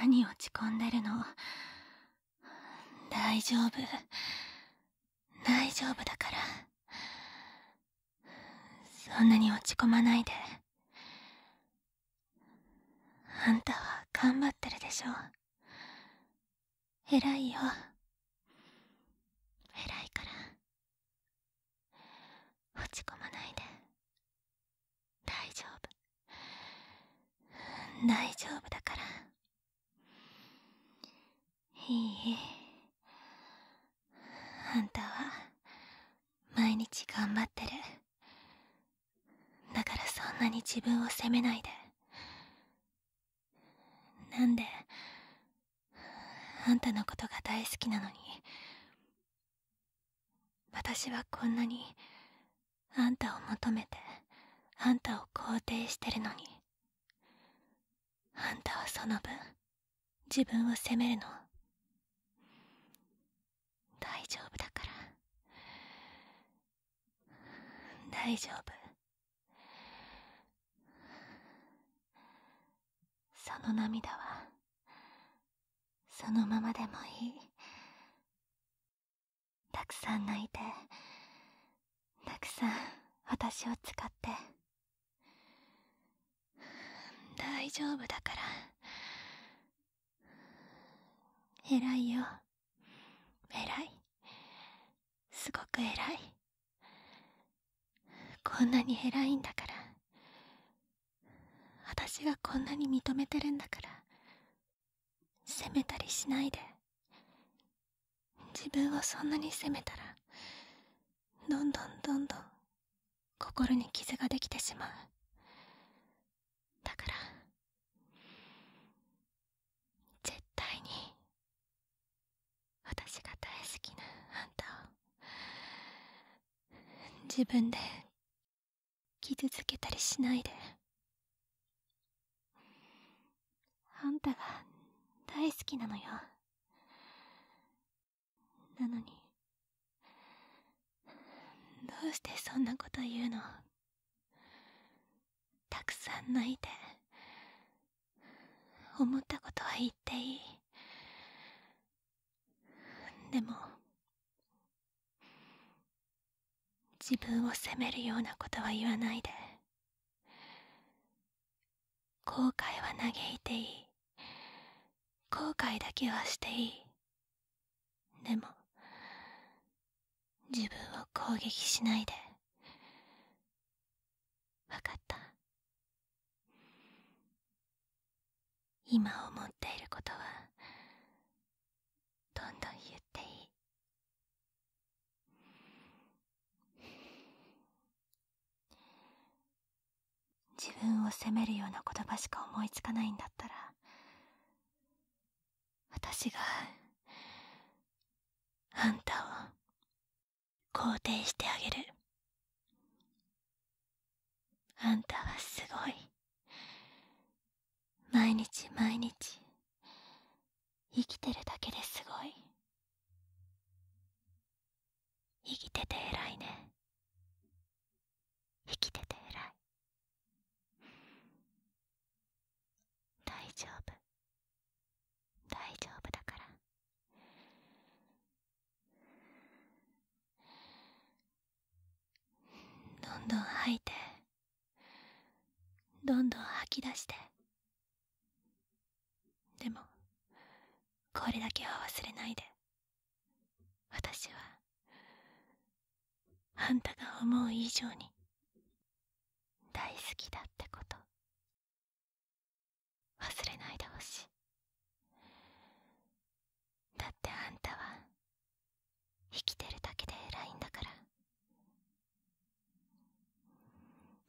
何落ち込んでるの大丈夫大丈夫だからそんなに落ち込まないであんたは頑張ってるでしょ偉いよ偉いから落ち込まないで大丈夫大丈夫だからいいあんたは毎日頑張ってるだからそんなに自分を責めないでなんであんたのことが大好きなのに私はこんなにあんたを求めてあんたを肯定してるのにあんたはその分自分を責めるの大丈夫だから大丈夫その涙はそのままでもいいたくさん泣いてたくさん私を使って大丈夫だから偉いよ偉いすごく偉いこんなに偉いんだから私がこんなに認めてるんだから責めたりしないで自分をそんなに責めたらどんどんどんどん心に傷ができてしまうだから絶対に私が大好きなあんたを自分で傷つけたりしないであんたが大好きなのよなのにどうしてそんなこと言うのたくさん泣いて思ったことは言っていいでも自分を責めるようなことは言わないで後悔は嘆いていい後悔だけはしていいでも自分を攻撃しないでわかった今思っていることはどんどん言っていい自分を責めるような言葉しか思いつかないんだったら私があんたを肯定してあげるあんたはすごい毎日毎日生きてるだけですごい生きてて偉いね生きてて偉い大丈夫大丈夫だからどんどん吐いてどんどん吐き出してでもこれだけは忘れないで私はあんたが思う以上に大好きだってこと忘れないでほしいだってあんたは生きてるだけで偉いんだから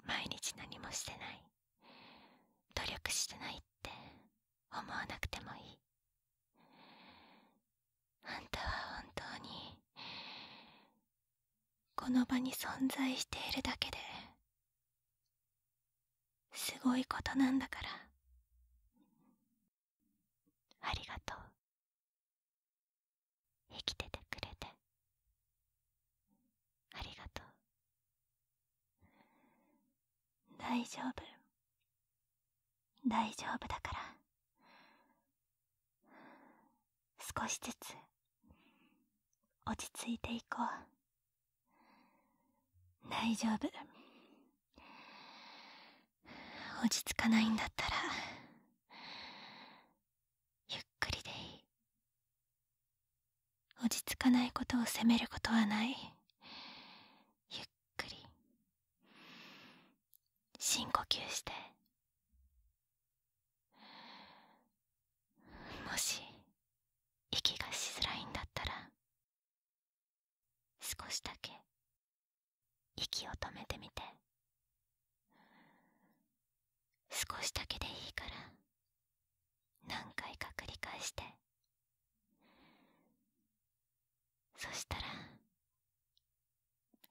毎日何もしてない努力してないって思わなくてもいいあんたは本当にこの場に存在しているだけですごいことなんだからありがとう生きててくれてありがとう大丈夫大丈夫だから少しずつ落ち着いていこう大丈夫落ち着かないんだったらゆっくりでいい落ち着かないことを責めることはないゆっくり。くり深呼吸してもし息がしづらいんだったら少しだけ息を止めてみて少しだけでいいから何回か繰り返してそしたら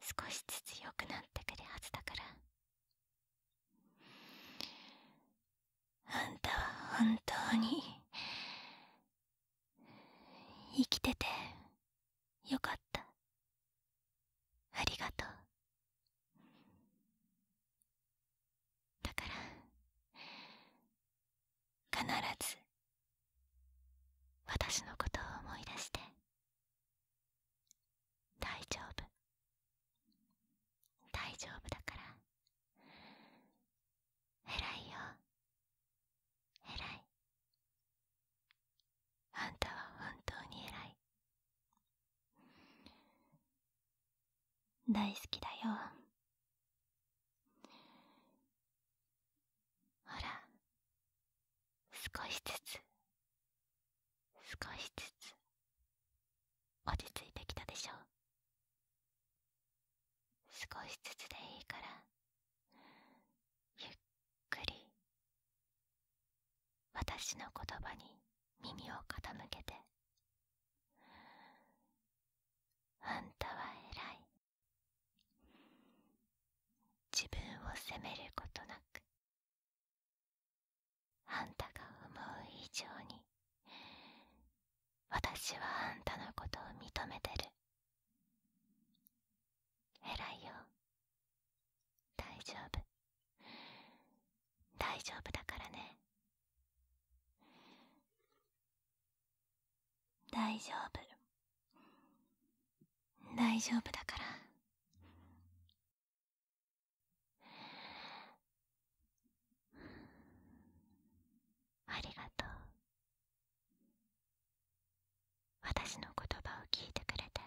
少しずつ良くなってくるはずだからあんたは本当に生きててよかったありがとうだから必ず私のことを思い出して大丈夫大丈夫だから偉いよ偉いあんたは本当に偉い大好きだよほら少しずつ少しずつ落ち着いてきたでしょ少しずつでいいからゆっくり私の言葉に耳を傾けてあんたは偉い自分を責めることなくあんたが思う以上に私はあんたのことを認めてる偉いよ大丈夫大丈夫だからね大丈夫大丈夫だからありがとう私の言葉を聞いてくれて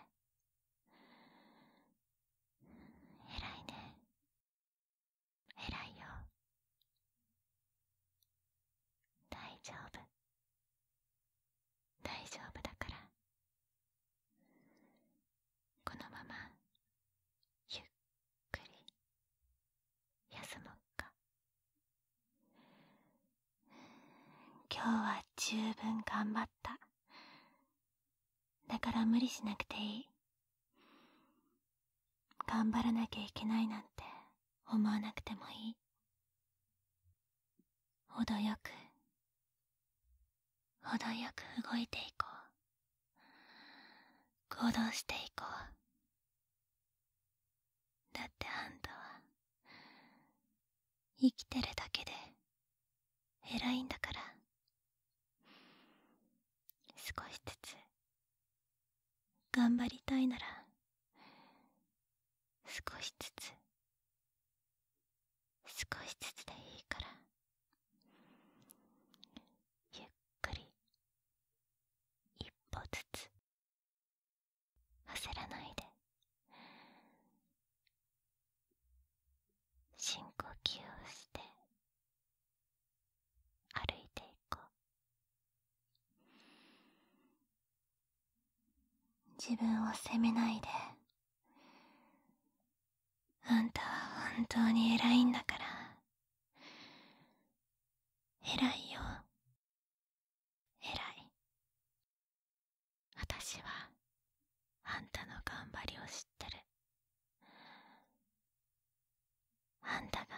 偉いね偉いよ大丈夫大丈夫だからこのままゆっくり休もうか今日は十分頑張っただから無理しなくていい頑張らなきゃいけないなんて思わなくてもいい。程よく、程よく動いていこう。行動していこう。だってあんたは、生きてるだけで、偉いんだから。少しずつ、頑張りたいなら少しずつ少しずつでいいからゆっくり一歩ずつ焦らないで深呼吸をして歩いていこう自分を責めないであんたは本当に偉いんだから偉いよ偉い私はあんたの頑張りを知ってるあんたが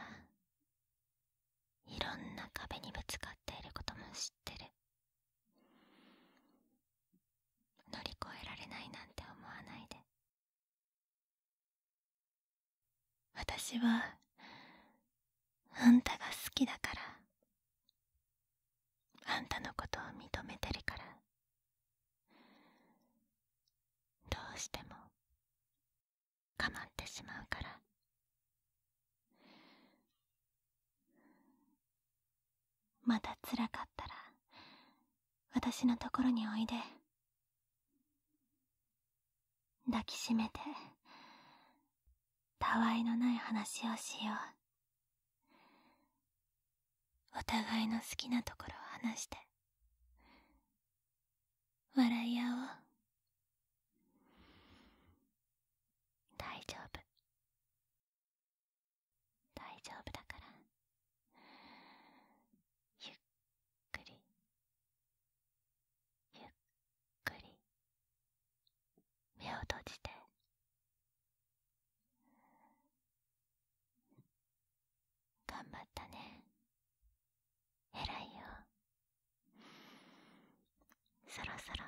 いろんな壁にぶつかっていることも知ってる乗り越えられないなんて思わないで私はあんたが好きだからあんたのことを認めてるからどうしてもかまってしまうからまたつらかったら私のところにおいで抱きしめてたわいのない話をしようお互いの好きなところを話して笑い合おう大丈夫大丈夫だからゆっくりゆっくり目を閉じて頑張ったね偉いよそろそろ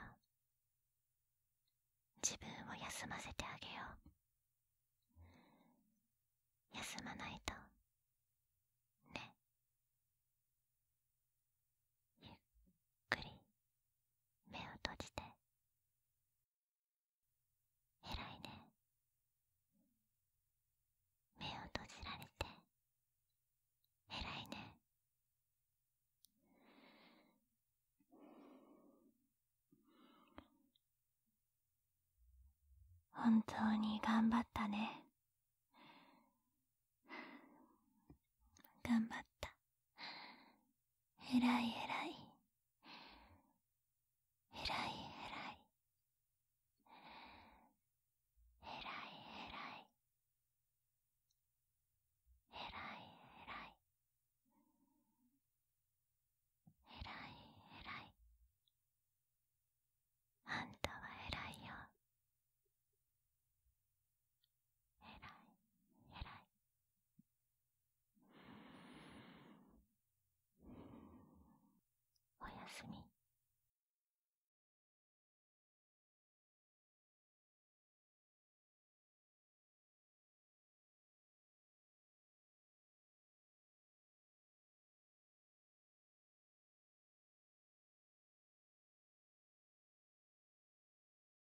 自分を休ませてあげよう休まないとねゆっくり目を閉じて偉いね目を閉じられて偉いね本当に頑張ったね頑張ったえらいえらい。えらいえらい。えらいえらい。えらいえらい。えらいえらい。あんたはえらいよ。えらいえらい。おやすみ。